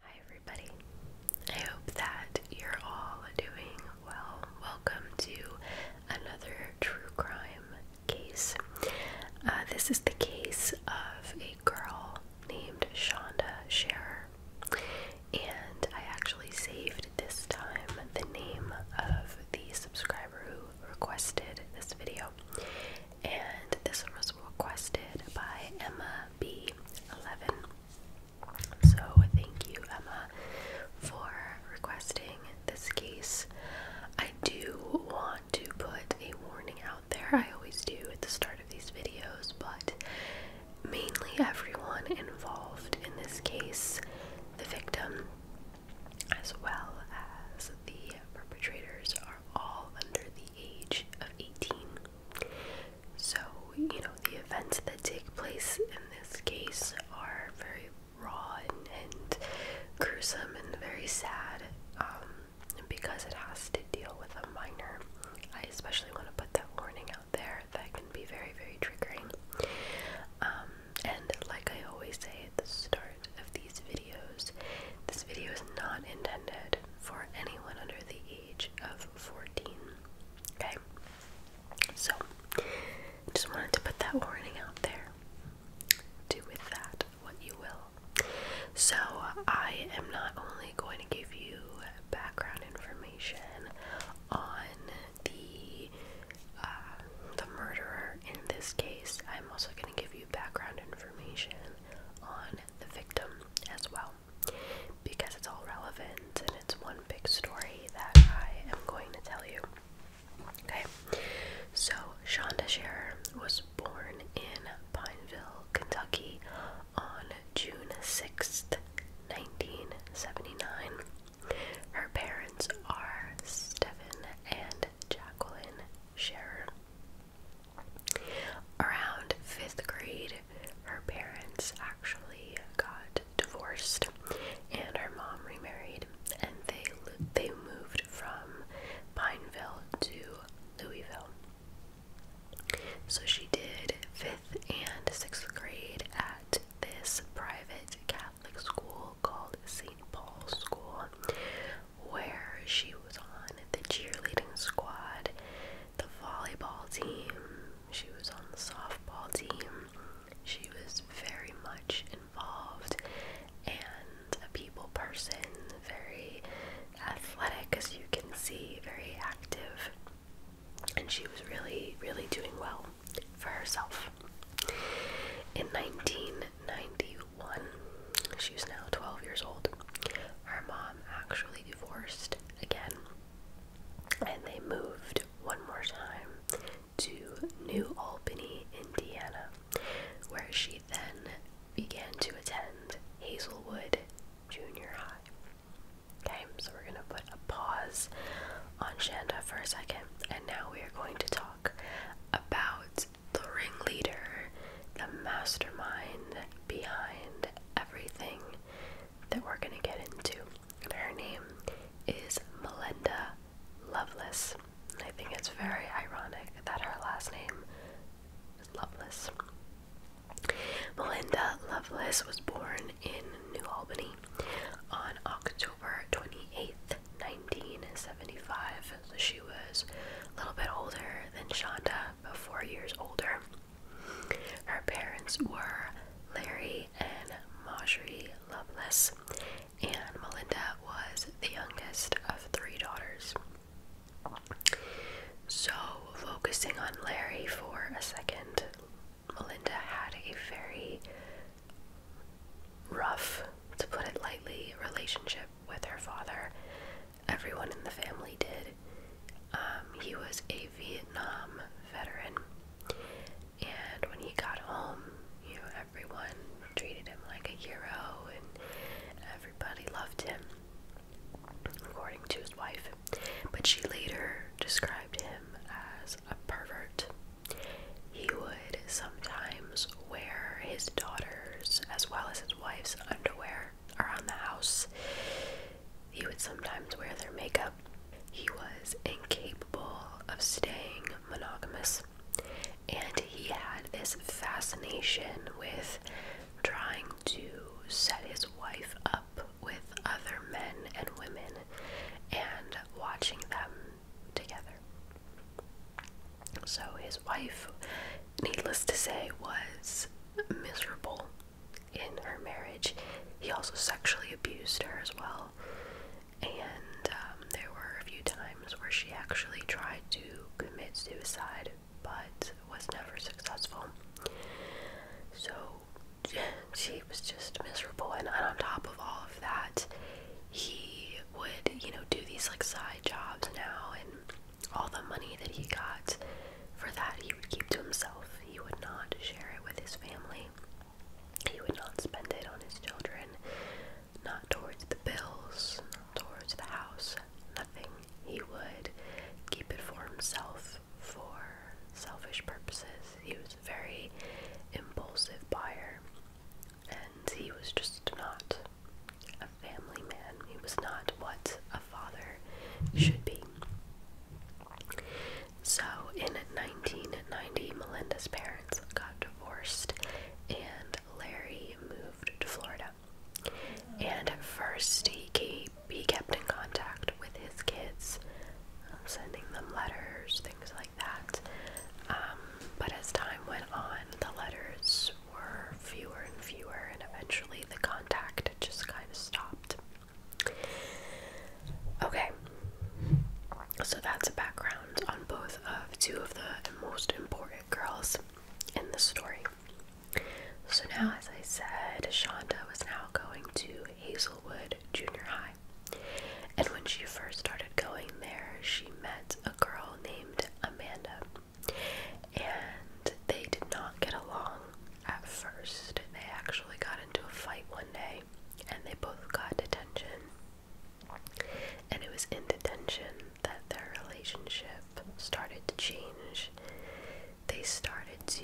Hi, everybody. I hope that you're all doing well. Welcome to another true crime case. Uh, this is the case of a girl named Shonda Sharer, and I actually saved this time the name of the subscriber who requested this video. And this was requested by Emma B11. So thank you, Emma, for requesting this case. I do want to put a warning out there. I always do at the start of these videos, but mainly everyone involved in this case, the victim as well as the perpetrators, are all under the age of 18. So, you know, the events that take place in this case are very raw and, gruesome and very sad um, because it has to deal with a minor. I especially want to put that warning out there that can be very, very triggering. Um, and like I always say at the start of these videos, this video is not intended for anyone under the age of 14. Okay? So, just wanted to put that warning out there. Do with that what you will. So, I am not only going to give you background information on the uh, the murderer in this case. I'm also going to give you background information on the victim as well, because it's all relevant and it's one big story that I am going to tell you. Okay, so Shonda Scherer was born in Pineville, Kentucky, on June sixth, nineteen 1979. Her parents are Stephen and Jacqueline Scherer. Around fifth grade, her parents actually got divorced, and her mom remarried, and they they moved from Pineville to Louisville. So she did fifth and sixth grade at at this private Catholic school called St. Paul's School, where she was on the cheerleading squad, the volleyball team, she was on the softball team. She was very much involved and a people person, very athletic, as you can see, very active and she was really, really doing well for herself. In 1991, she was now 12 years old. Her mom actually divorced again, and they moved one more time to New Albany, Indiana, where she then began to attend Hazelwood Junior High. Okay, so we're gonna put a pause on Shanda for a second, and now we are going to talk about the ringleader, the mastermind behind everything that we're gonna get into. her name is Melinda Lovelace. I think it's very ironic that her last name is Lovelace. Melinda Lovelace was born in New Albany on October 28th, 1975, so she was a little bit older than Shonda, but four years older. Her parents were Larry and Marjorie Loveless, and Melinda was the youngest of three daughters. So, focusing on Larry for a second, Melinda had a very rough, to put it lightly, relationship with her father. Everyone in the family did. Um, he was a Vietnam veteran, and when he got home, you know, everyone treated him like a hero and everybody loved him, according to his wife. But she later described him as a pervert. He would sometimes wear his daughter's as well as his wife's underwear around the house. He would sometimes wear their makeup. He was incapable of staying monogamous, and he had this fascination with trying to set his wife up with other men and women and watching them together. So his wife, needless to say, was miserable in her marriage. He also sexually abused her as well. And um, there were a few times where she actually tried to commit suicide but was never successful. So she was just miserable. And on top of all of that, he would, you know, do these like side jobs now, and all the money that he got for that, he would keep to himself. He would not share it with his family. He would not spend it on his children, not towards the bills, not towards the house, nothing. He would keep it for himself for selfish purposes. He was very impulsive buyer, and he was just not a family man. He was not what a father should be. So in 1990, Melinda's parents got divorced, and Larry moved to Florida. And at first, he, he kept in contact with his kids sending them letters, things like that. Um, but as time went on, the letters were fewer and fewer, and eventually the contact just kind of stopped. Okay, so that's a background on both of two of the most important girls in the story. So now, as I said, Shonda was now going to Hazelwood Junior High. And when she first started going there, she met a girl named Amanda. And they did not get along at first. They actually got into a fight one day and they both got detention. And it was in detention that their relationship started to change. They started to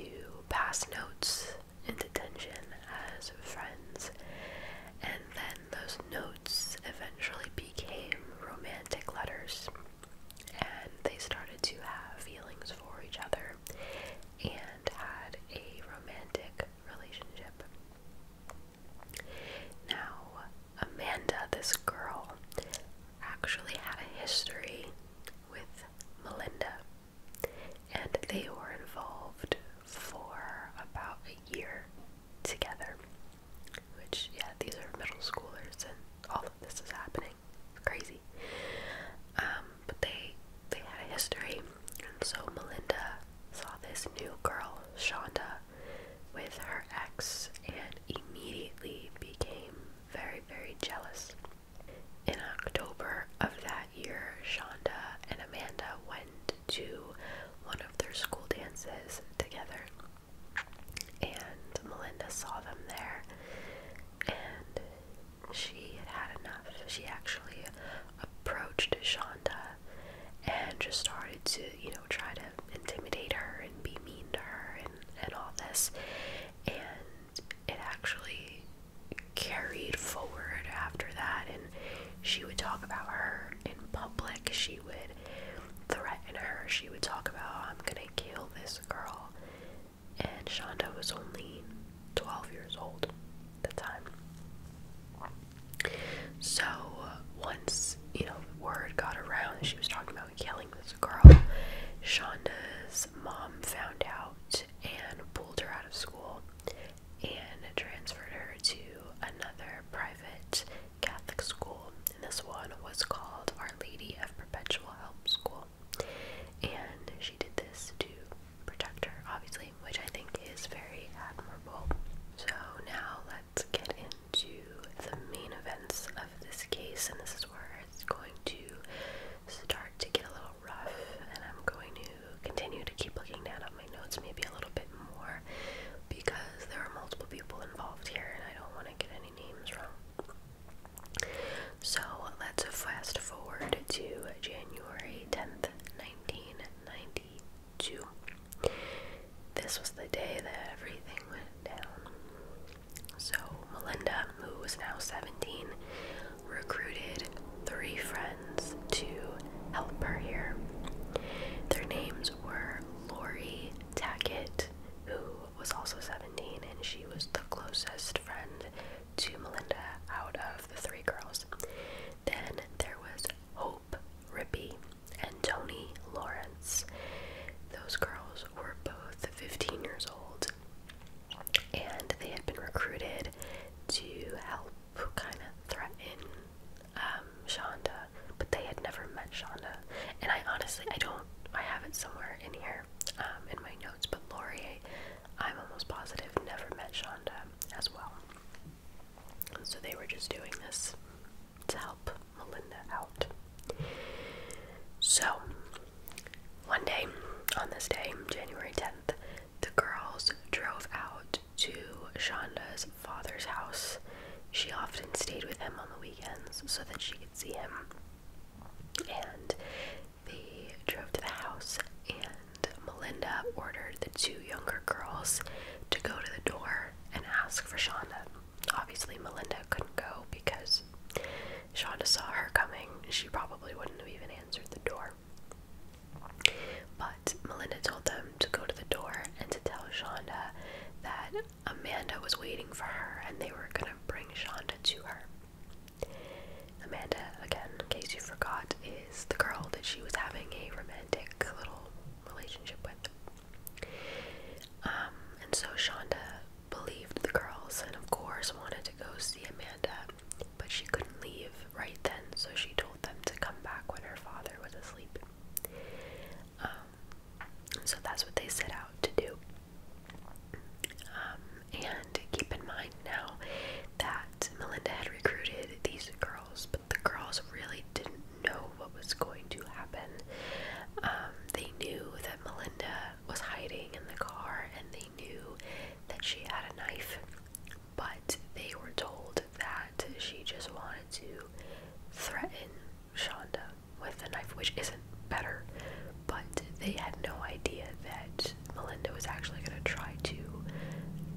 pass notes and attention as friends, and then those notes eventually became romantic letters, and they started to have feelings for each other and had a romantic relationship. Now, Amanda, this girl, actually had a history with Melinda and they were involved for about a year together. Which, yeah, these are middle schoolers, and all of this is happening. It's crazy. Um, but they they had a history, and so Melinda saw this new girl, Shonda, with her ex, and immediately became very, very jealous. In October of that year, Shonda and Amanda went to one of their school dances together, and Melinda saw them there, and she had had enough. She actually approached Shonda and just started to, you know, try to intimidate her and be mean to her and, and all this. And it actually carried forward after that and she would talk about her in public she would threaten her she would talk about i'm gonna kill this girl and shonda was only 12 years old at the time so once you know word got around she was talking about killing this girl shonda's mom found out and pulled her out of school and transferred her to another private Catholic school. And this one was called Our Lady of Perpetual Help School. And she did this to protect her, obviously, which I think is very admirable. So now let's get into the main events of this case, and this is where it's going to start to get a little rough, and I'm going to continue to keep looking down at my notes, maybe a little bit more, because there are multiple people involved here, and I don't want to get any names wrong. So let's fast forward to January 10th, 1992. This was the day that everything went down. So, Melinda, who was now 17, recruited three friends to help her here. Their names were Lori Tackett, who was also 17, and she was the closest friend to Melinda out of the three girls. Then there was Hope Rippey and Tony Lawrence. Those girls were both 15 years old, and they had been recruited to help who kind of threatened um, Shonda, but they had never met Shonda. And I honestly, I don't, I have it somewhere in here um, in my notes, but Laurier, I'm almost positive, never met Shonda as well. So they were just doing this to help Melinda out. So, one day, on this day, January 10th, the girls drove out to Shonda's father's house. She often stayed with him on the weekends so that she could see him. And they drove to the house, and Melinda ordered the two younger girls to go to the door and ask for Shonda. Obviously, Melinda couldn't go because Shonda saw her coming. She probably wouldn't have even answered the door. But Melinda told them to go to the door and to tell Shonda that Amanda was waiting for her and they were going to bring Shonda to her. Amanda, again, in case you forgot, is the girl that she was having a romantic little relationship with. Um, and so Shonda believed the girls and, of course, wanted to go see Amanda but she couldn't leave right then, so she told them to come back when her father was asleep. Um, so that's what they set out to do. Um, and keep in mind now that Melinda had recruited these girls, but the girls really didn't know what was going to happen. Um, they knew that Melinda was hiding in the car, and they knew that she had a knife but they were told that she just wanted to threaten Shonda with a knife, which isn't better, but they had no idea that Melinda was actually going to try to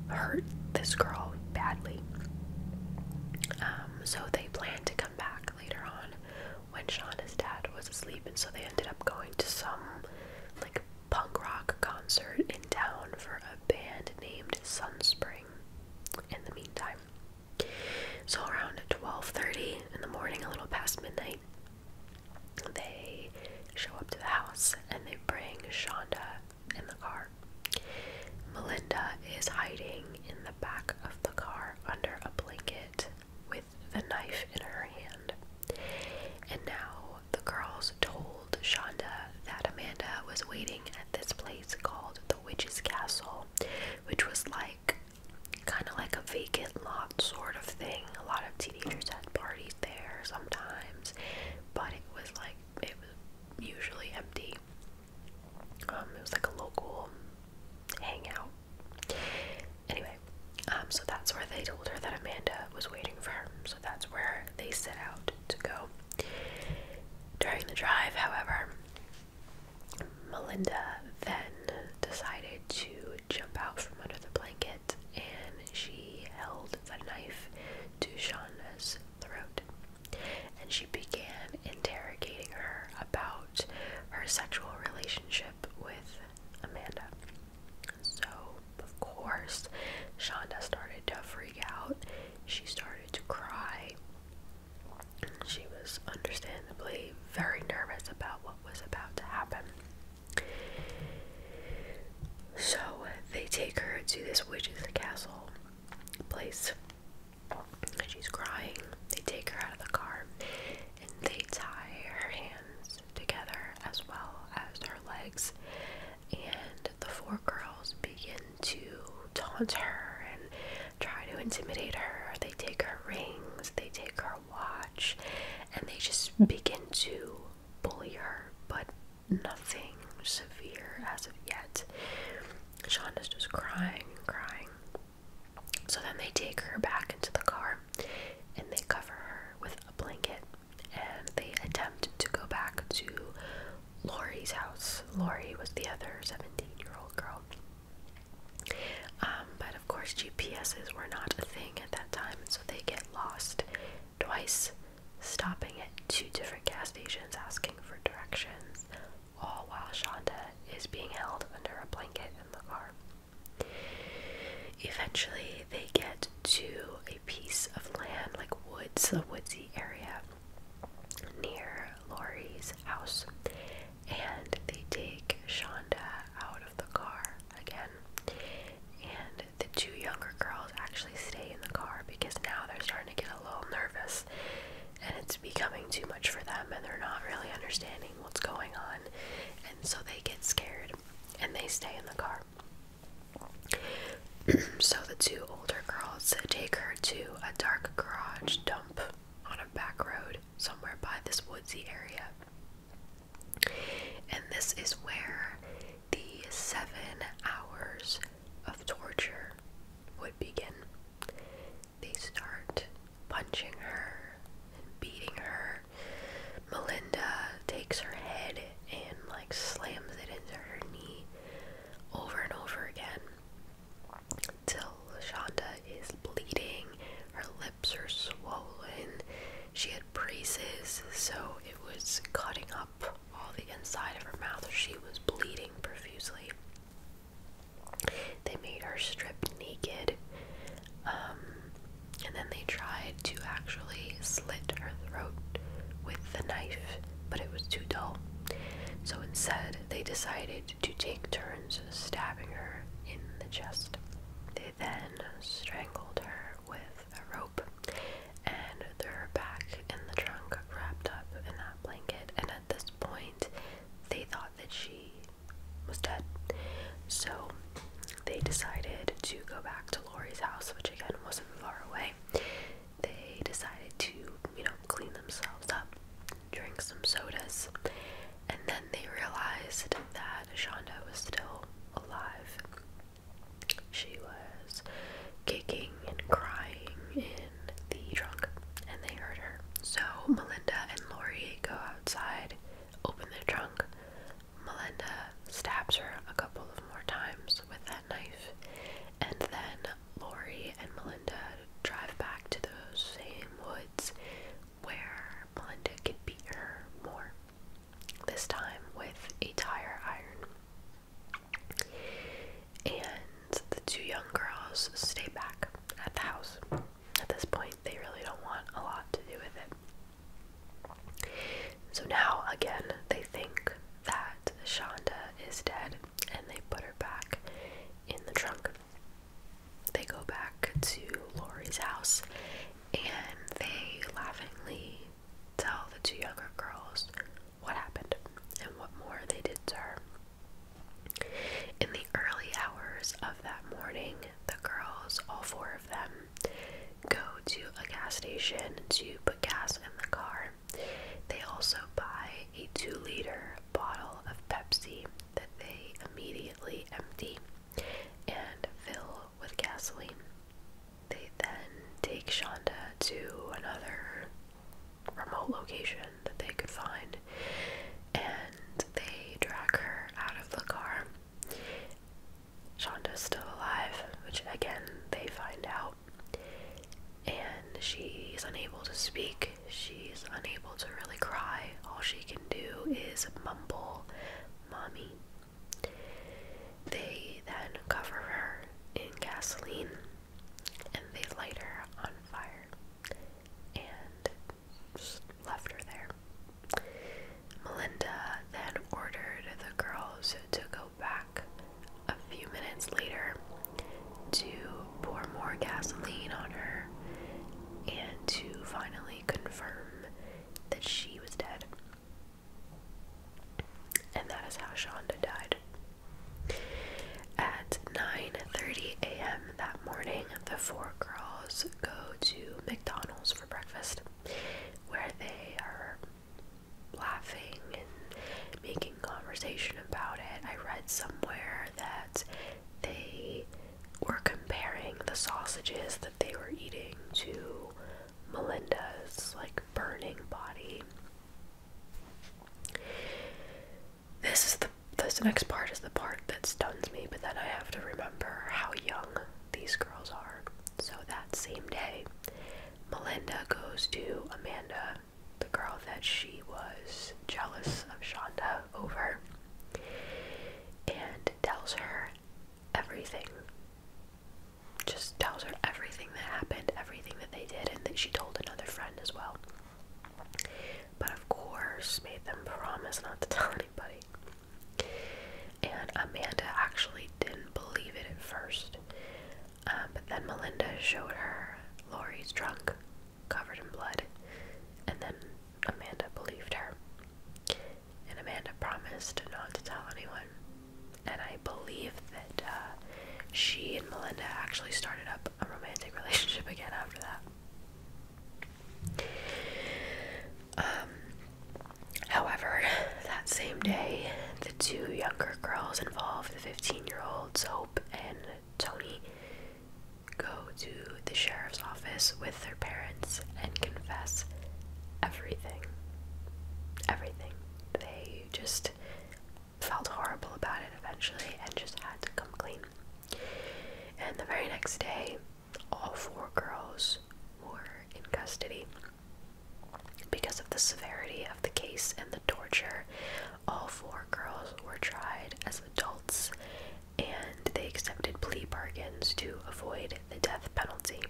hurt this girl badly. Um, so they planned to come back later on when Shonda's dad was asleep, and so they ended up going to some like punk rock concert in town for a band named Sunspring in the meantime. So around 12:30 in the morning, a little past midnight, they show up to the house and they bring Shonda in the car. Melinda is hiding in the back of the car under a blanket with the knife in her hand. And now the girls told Shonda that Amanda was waiting at this place called the Witch's Castle, which was like kind of like a vacant lot sort of thing. A lot of teenagers had parties there sometimes, but it was like it was usually empty. Um, it was like a local hangout. Anyway, um, so that's where they told her that Amanda was waiting for her that's where they set out to go. During the drive, however, Melinda then decided to jump out from under the blanket and she held the knife to Shauna's throat and she began interrogating her about her sexual relationship with Amanda. So, of course, Shonda started to freak out. She started to cry. She was understandably very nervous about what was about to happen. So, they take her to this witch's castle place. She's crying. They take her out of the car and they tie her hands together as well as her legs, and the four girls begin to taunt her and try to intimidate her. They take her rings, they take her watch, and they just begin to bully her, but nothing severe as of yet. Shonda's just crying and crying. So then they take her back into the car and they cover her with a blanket and they attempt to go back to Lori's house. Lori was the other 17 year old girl. Um, but of course, GPSs were not a thing at that time, so they get lost twice, stopping at two different gas stations asking for directions, all while Shonda is being held under a blanket in the car. Eventually, they get to a piece of land, like woods, a woodsy area near Laurie's house, and they take Shonda out of the car again. And the two younger girls actually stay in the car because now they're starting to get a little nervous and it's becoming too much for them and they're not really understanding what's going on. And so they get scared and they stay in the car so the two older girls take her to a dark garage dump on a back road somewhere by this woodsy area. And this is where the seven hours of torture would begin. They start punching her and beating her. Melinda takes her head and like slams it into her knee over and over again till Shonda is bleeding, her lips are swollen, she had braces, so it was cutting up all the inside of her mouth. She was bleeding profusely. They made her strip naked, um, and then they tried to actually slit her throat with the knife, but it was too dull. So instead, they decided to take turns stabbing her in the chest. They then strangled her with a rope and threw her back in the trunk wrapped up in that blanket, and at this point, they thought that she was dead. So they decided to go back to Lori's house, which again wasn't far away, they decided to, you know, clean themselves up, drink some sodas, and then they realized that Shonda was still alive. She was kicking and crying in the trunk, and they heard her. So Melinda and Lori go outside, open the trunk, Melinda stabs her a couple of more times with that knife, and then Lori and Melinda drive back to those same woods where Melinda can beat her more, this time with a tire iron. And the two young girls stay back at the house. At this point, they really don't want a lot to do with it. So now, again, they think that Shonda is dead and they put her back in the trunk. They go back to Lori's house and they laughingly tell the two younger girls what happened and what more they did to her. In the early hours of that morning, the girls, all four of them, go to a gas station to put gas in the car. They also buy a two liter bottle of Pepsi that they immediately empty and fill with gasoline. They then take Shonda to another remote location that they could find and they drag her out of the car Shonda is still alive, which again they find out. And she's unable to speak. She's unable to really cry. All she can do is mumble, Mommy. They then cover her in gasoline and they light her on fire and just left her there. Melinda then ordered the girls to go back a few minutes later to pour more gasoline on her and to finally confirm that she was dead. And that is how Shonda died. At 9:30 a.m. that morning, the four girls go to McDonald's for breakfast, where they are laughing and making conversation about it. I read somewhere that they were comparing the sausages that they were eating to Melinda's like burning body. This is the this next part is the part that stuns me, but then I have to remember how young these girls are. So that same day, Melinda goes to Amanda, the girl that she was jealous of Shonda over, and tells her everything. Just tells her everything that happened, everything that they did, and that she told another friend as well. But of course, made them promise not to tell anybody. And Amanda actually didn't believe it at first. Um, but then Melinda showed her Lori's trunk covered in blood, and then Amanda believed her. And Amanda promised not to tell anyone. And I believe that uh, she and Melinda actually started up a romantic relationship again after that. Um, However, that same day, the two younger girls involved, the 15 year olds Hope and Tony, go to the sheriff's office with their parents and confess everything. Everything. They just felt horrible about it eventually and just had to come clean. And the very next day, all four girls were in custody. Because of the severity of the case and the torture, all four girls were tried as adults and they accepted plea bargains to avoid the death penalty.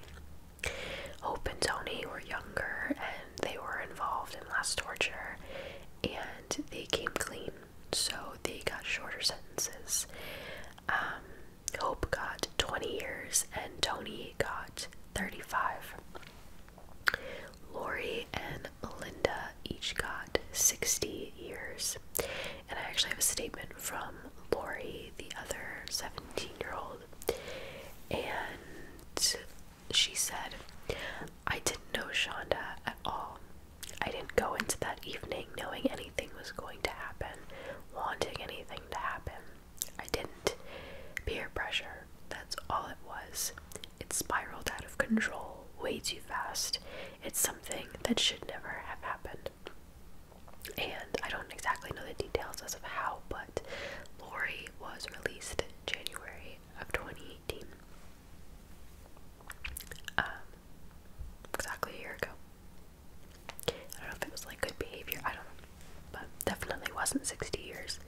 Hope and Tony were younger and they were involved in less torture and they came clean, so they got shorter sentences. Um, Hope got 20 years and Tony got 35. Lori and Melinda each got 60 years. And I actually have a statement from Lori, the other 17 year old. And she said, I didn't know Shonda at all. I didn't go into that evening knowing anything was going to happen, wanting anything to happen. I didn't. Peer pressure, that's all it was. It spiraled out of control way too fast. It's something that should never have happened. And I don't exactly know the details as of how, but Lori was released January of 2018. Um, exactly a year ago. I don't know if it was like good behavior, I don't know but definitely wasn't 60 years.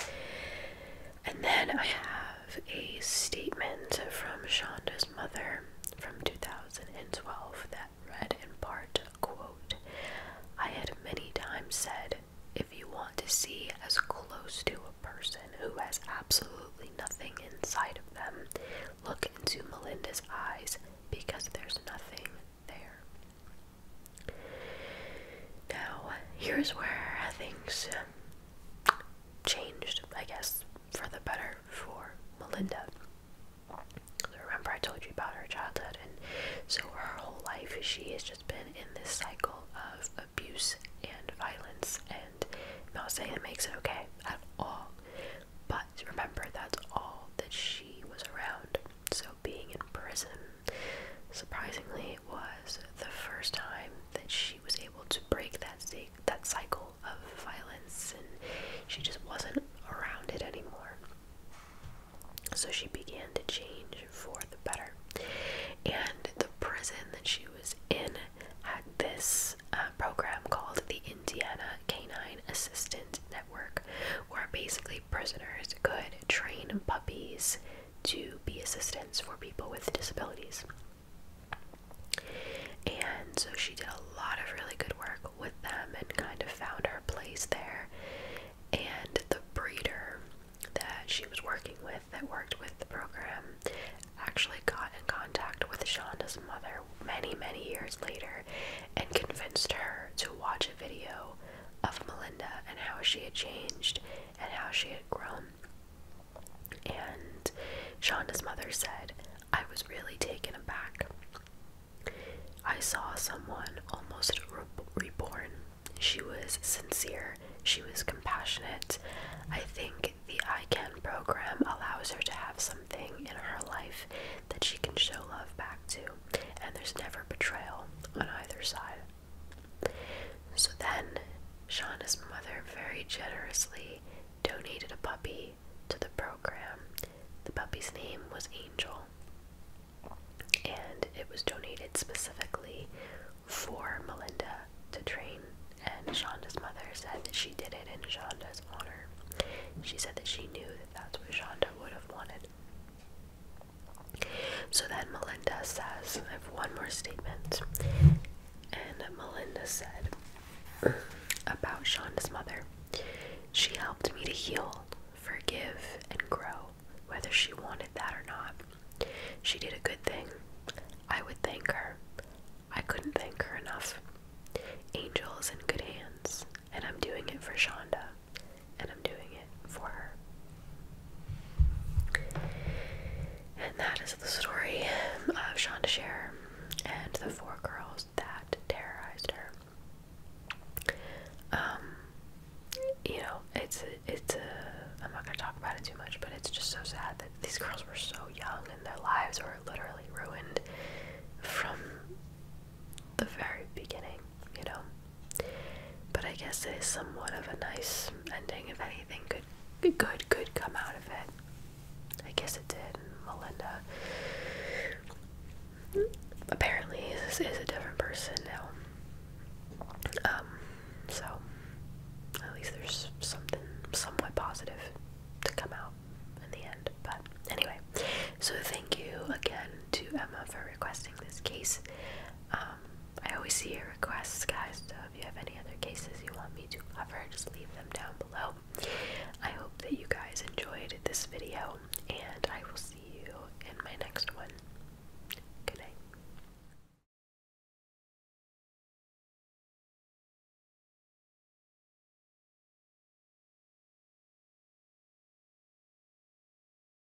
And then I have a statement from Shonda's mother from 2012 that read in part, quote, I had many times said, if you want to see as close to a person who has absolutely nothing inside of them, look into Melinda's eyes because there's nothing there. Now, here's where things changed, I guess, for the better for Melinda. remember, I told you about her childhood, and so her whole life she has just been in this cycle of abuse and violence. And I'm not saying it makes it okay at all, but remember that's all that she was around. So being in prison Surprisingly, it was the first time that she was able to break that that cycle of violence, and she just wasn't around it anymore. So she began to change for the better, and the prison that she was in had this uh, program called the Indiana Canine Assistant Network, where basically prisoners could train puppies to be assistants for people with disabilities. And so she did a lot of really good work with them and kind of found her place there. And the breeder that she was working with, that worked with the program, actually got in contact with Shonda's mother many, many years later and convinced her to watch a video of Melinda and how she had changed and how she had grown. And Shonda's mother said, I was really taken aback. I saw someone almost reborn. She was sincere, she was compassionate. I think the ICANN program allows her to have something in her life that she can show love back to, and there's never betrayal on either side. So then, Shauna's mother very generously donated a puppy to the program. The puppy's name was Angel, and it was donated specifically for Melinda to train. And Shonda's mother said that she did it in Shonda's honor. She said that she knew that that's what Shonda would have wanted. So then Melinda says, I have one more statement. And Melinda said about Shonda's mother. She helped me to heal, forgive, and grow, whether she wanted that or not. She did a good thing. I would thank her. I couldn't thank her enough. Angel is in good hands, and I'm doing it for Shonda and I'm doing it for her. And that is the story of Shonda Share and the four girls that terrorized her. Um, you know, it's a, it's a. I'm not gonna talk about it too much, but it's just so sad that these girls were so young and their lives were literally ruined from the very beginning. You know, but I guess it is somewhat of a nice ending. If anything good, good, could come out of it. I guess it did. Melinda apparently is, is a different person now. Um, so at least there's something somewhat positive to come out in the end. But anyway, so thank you again to Emma for requesting this case. Um, I always see your requests, guys, so if you have any other cases you want me to cover, just leave them down below. I hope that you guys enjoyed this video, and I will see you in my next one. Good night.